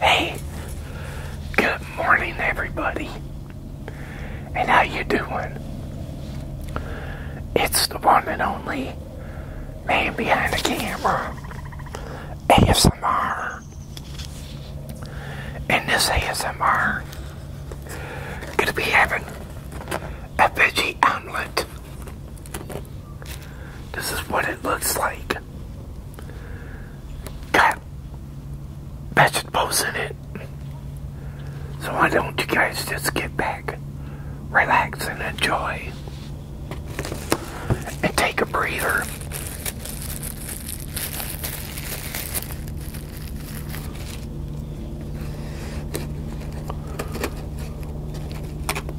Hey, good morning everybody. And how you doing? It's the one and only man behind the camera. ASMR. And this ASMR gonna be having a veggie omelet. This is what it looks like. Got vegetables in it. So why don't you guys just get back, relax, and enjoy. And take a breather.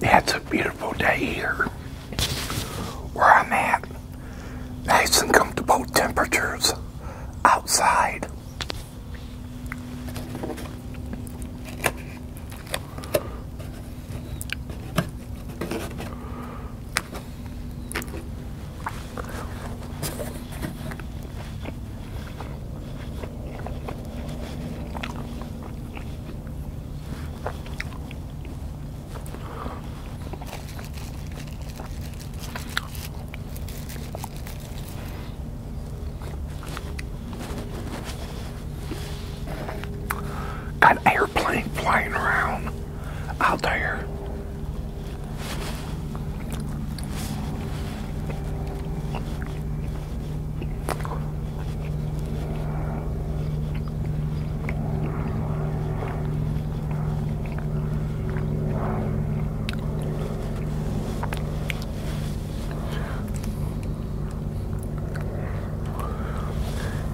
That's a beautiful day here where I'm at. Nice and comfortable temperatures outside. Got an airplane flying around out there.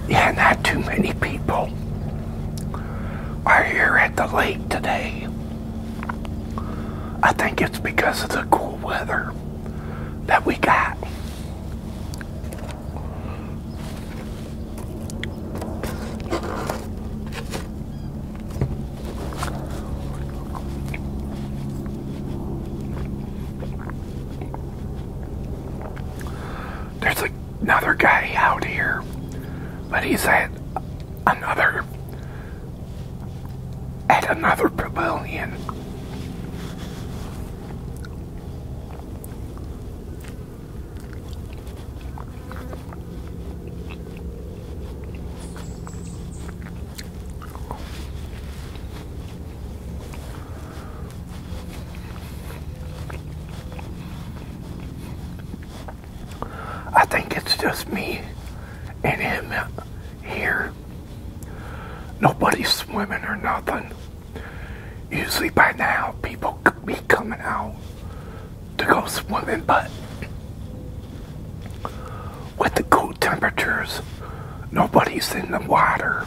Yeah, not too many people are here at the lake today. I think it's because of the cool weather that we got. There's another guy out here, but he's at another at another pavilion. I think it's just me and him here. Nobody's swimming or nothing. Usually by now, people could be coming out to go swimming, but with the cool temperatures, nobody's in the water.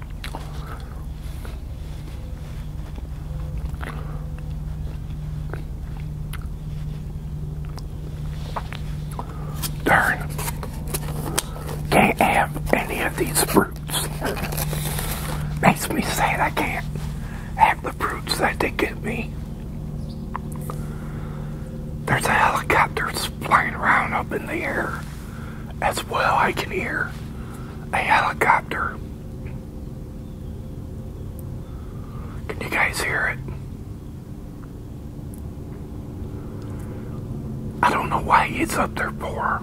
Darn. Can't have any of these fruits. Makes me sad I can't have the fruits that they give me. There's a helicopter flying around up in the air. As well, I can hear a helicopter. Can you guys hear it? I don't know why it's up there for.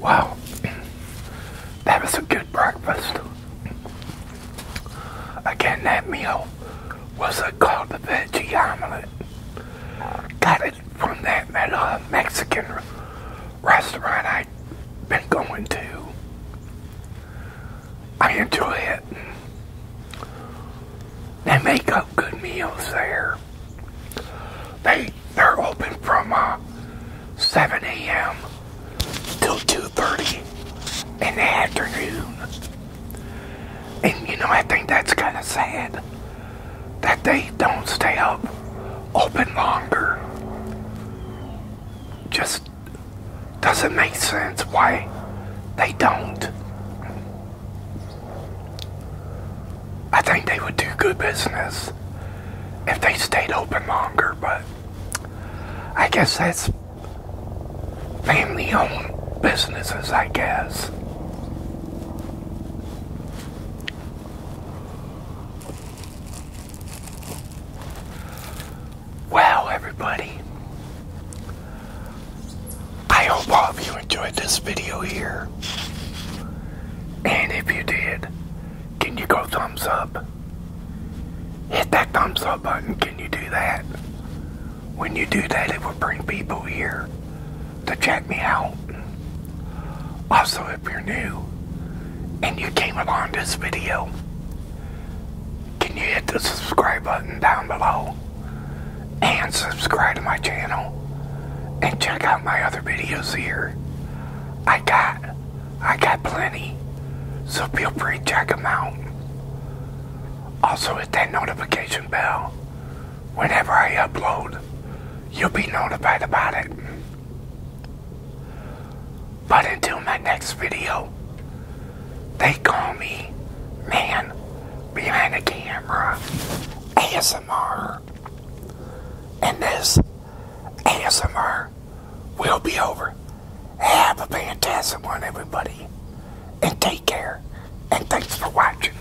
Wow, that was a good breakfast. Again, that meal was a called the veggie omelet. Got it from that, uh, Mexican restaurant I've been going to. I enjoy it. They make up good meals there. They they're open from uh, 7 a.m. till 2:30 in the afternoon. And you know I think that's kind of sad that they don't stay up open longer. Just doesn't make sense why they don't. I think they would do good business if they stayed open longer, but I guess that's family owned businesses, I guess. Wow, everybody. I hope all of you enjoyed this video here. And if you did, can you go thumbs up? Hit that thumbs up button. Can you do that? When you do that, it will bring people here to check me out. Also, if you're new and you came along this video, can you hit the subscribe button down below and subscribe to my channel and check out my other videos here. I got, I got plenty, so feel free to check them out. Also hit that notification bell. Whenever I upload, you'll be notified about it. But until my next video, they call me Man Behind the Camera ASMR. And this ASMR will be over. Have a fantastic one, everybody. And take care. And thanks for watching.